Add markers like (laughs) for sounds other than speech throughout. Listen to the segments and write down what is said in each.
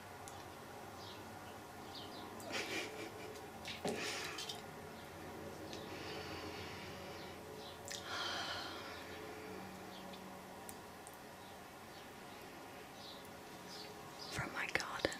(sighs) From my garden.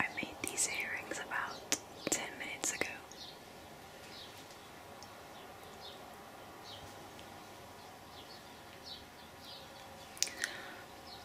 I made these earrings about 10 minutes ago.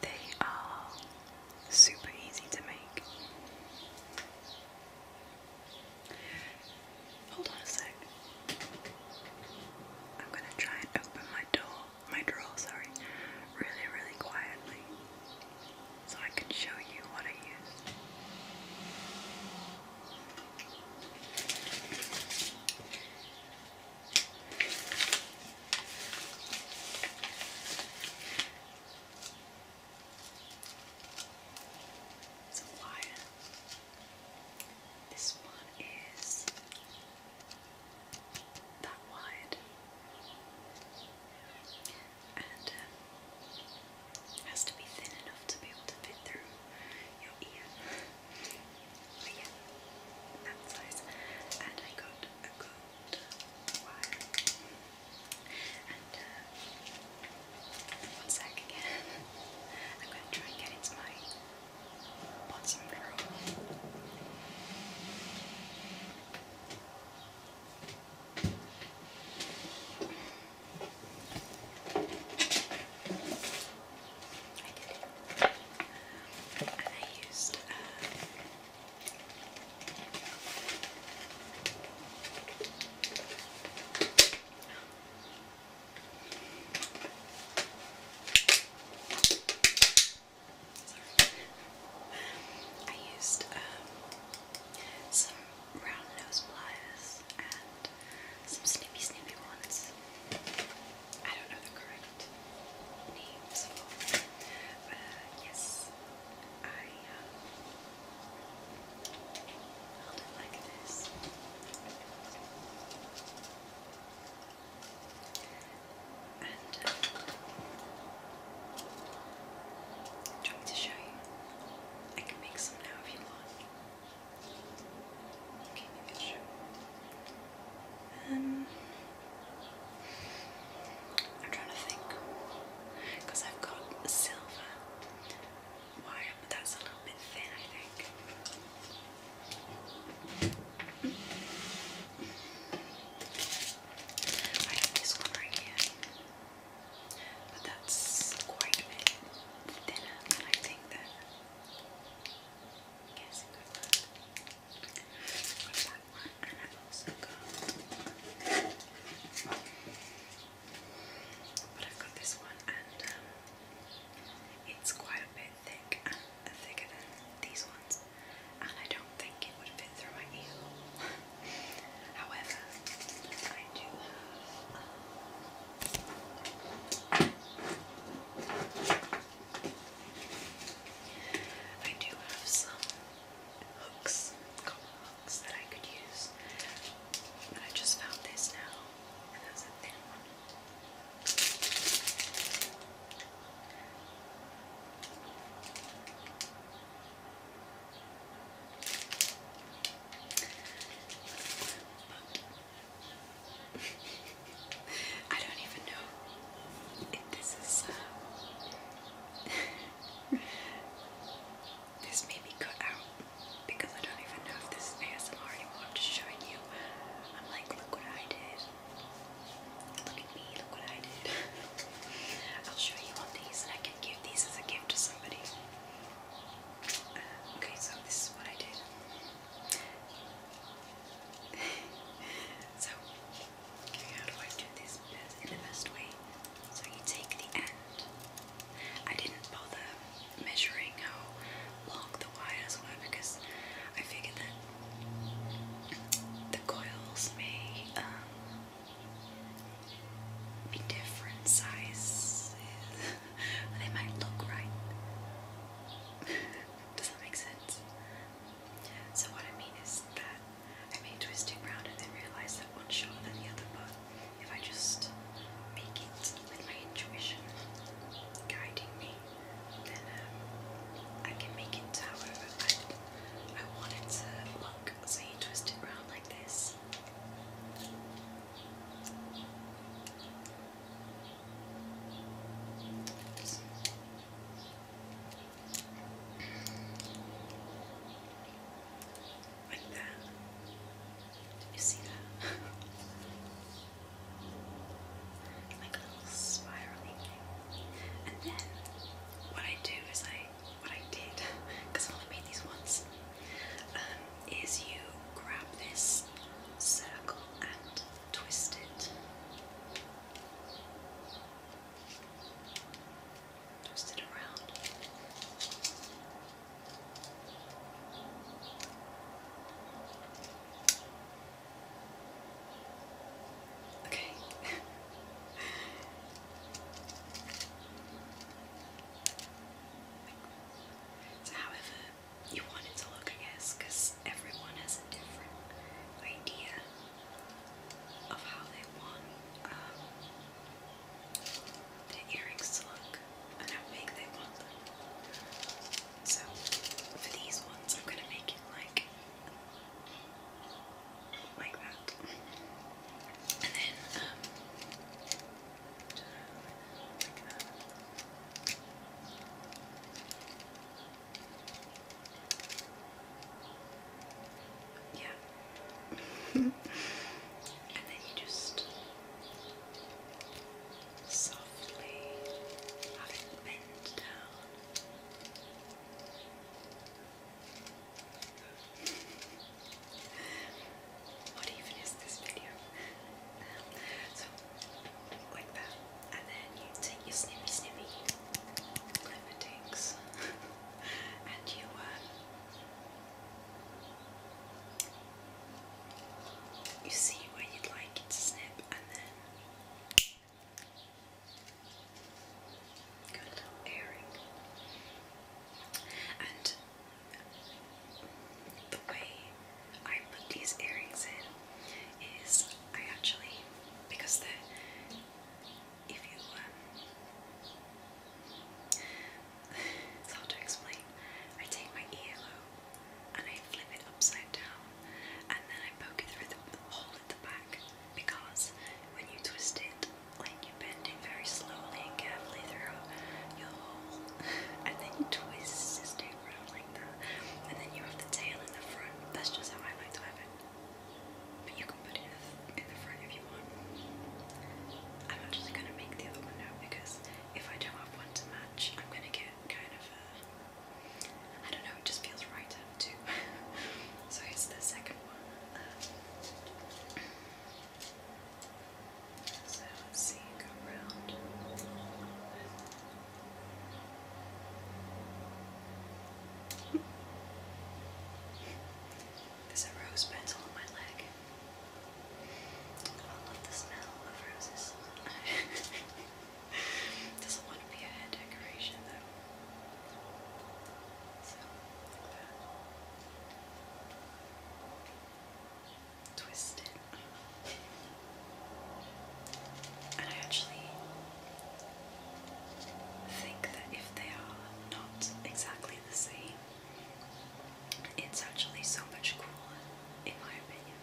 They are super easy to make. Hold on a sec. I'm gonna try and open my door, my drawer, sorry, really, really quietly so I can show you what I use. It's a wire. This one is that wide. And um, it has to be thin enough to be able to fit through your ear. but yeah, that size. And I got a gold wire. And uh, one sec again. (laughs) I'm going to try and get into my bottom row. I did it. And I used um, some round nose pliers and some sleepy sleepy ones. I don't know the correct names for but yes, I held um, it like this. And um, trying to show you. I can make some now if you want. Okay, make sure. Um, I'm trying to think I've got silver wire, but that's a little bit thin, I think. I have this one right here. But that's quite a bit thinner than I think that. Yes, it could work. Got that one, and I've also got. But I've got this one, and um, it's quite a bit thick, and thicker than these ones, and I don't think it would fit through my ear. (laughs) However, I do have, um, I do have some hooks, cotton hooks that I could use, but I just found this now, and that's a thin one. I I don't even know if this is. Uh, (laughs) this may be cut out because I don't even know if this is ASMR anymore. I'm just showing you. I'm like, look what I did. Look at me, look what I did. (laughs) I'll show you on these and I can give these as a gift to somebody. Okay, so this is what I did. (laughs) so, how do I do this in the best way? So you take the end. I didn't bother measuring how long the wires were because I figured that the coils may um, be different sizes. (laughs) they might look right. (laughs) Does that make sense? So what I mean is that I may twist it round and then realised that one shorter than the other, but if I just make it with my intuition guiding me, then um, I can make it however I, I want to look. So you twist it round like this. Like that. Did you see that? (laughs) like a little spirally thing. And then what I do is I what I did, (laughs) I only made these once, um, is you grab this circle and twist it. Twist it around. Okay. (laughs) It's however you want it to look, I guess, because everyone has a different idea of how they want um, earrings to look and how big they want them. So for these ones, I'm gonna make it like like that, and then um, yeah. (laughs) and then you just softly have bend down what even is this video? so, like that, and then you take your snippy snippy limitings and you um, you see where you'd like it to snip and then good little and the way I put these earrings in is I actually, because if you, um, (laughs) it's hard to explain, I take my earlobe and I flip it upside down and then I poke it through the hole at the back because when you twist it, like you're bending very slowly and carefully through your hole, (laughs) and then you twist this tail around like that, and then you have the tail in the front. That's just how I like to have it. But you can put it in the, front if you want. I'm actually going to make the other one now because if I don't have one to match, I'm going to get kind of a. Uh, I don't know, it just feels right to have two. (laughs) so here's the second one. Uh, so let's see, go around. (laughs) There's a rose petal on my leg. I love the smell of roses. (laughs) Doesn't want to be a hair decoration though. Twisted, And I actually think that if they are not exactly the same, it's actually so much cooler, in my opinion.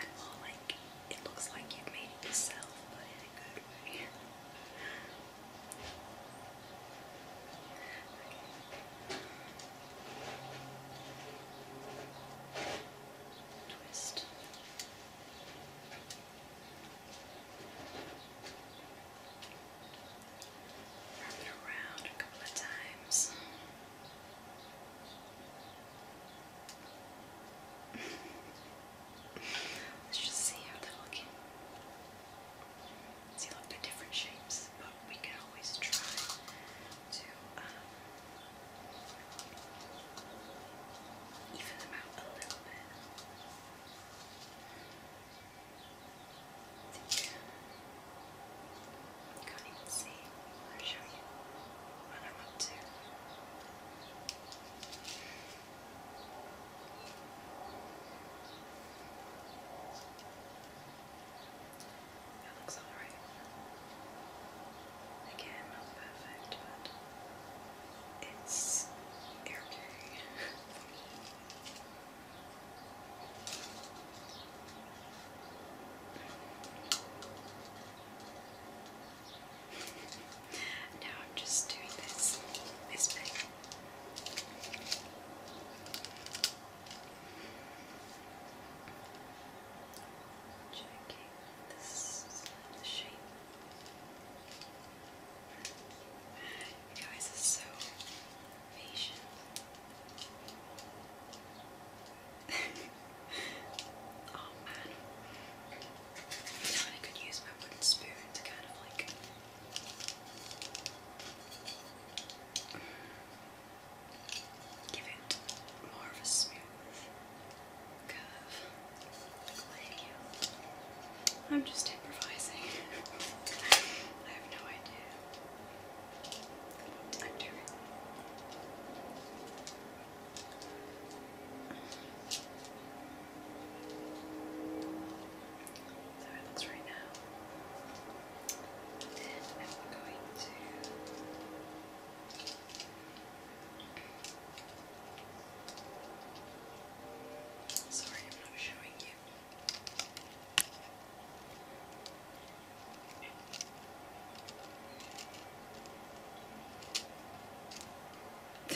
And more like, it looks like you've made yourself, but in a good way. (laughs) Twist. Wrap around a couple of times. (laughs) Let's just see how they're looking. See, look, they're different shapes, but we can always try to um, even them out a little bit. can't even see. I'll show you what I'm up to. That looks alright. Again, not perfect, but it's okay. (laughs) now I'm just doing this this bit. Checking this (laughs) shape. You guys are so patient. oh man. I could use my wooden spoon to kind of like Give it more of a smooth curve. I'm just improvising. (laughs) I have no idea I'm doing. So it right now. then I'm going to Sorry, I'm not showing you.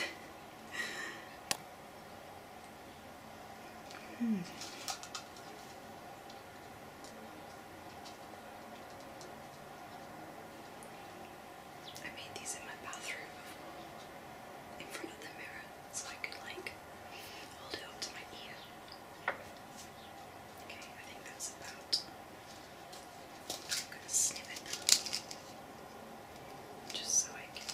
(laughs) Hmm. I made these in my bathroom in front of the mirror, so I could like hold it up to my ear. Okay, I think that's about. I'm gonna snip it just so I can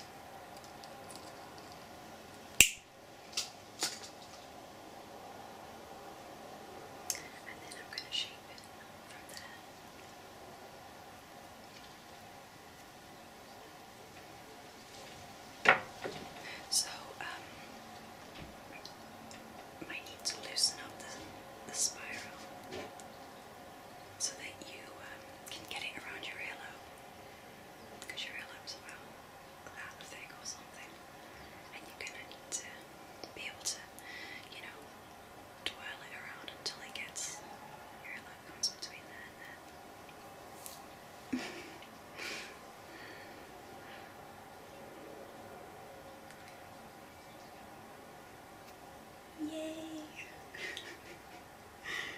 and then I'm going to shape it from there. So, um, might need to loosen up the, the spiral so that you um, can get it around your earlobe because you realise, well, that thing or something, and you're gonna need to be able to, you know, twirl it around until it gets your light comes between there and there. (laughs) Yay! (laughs)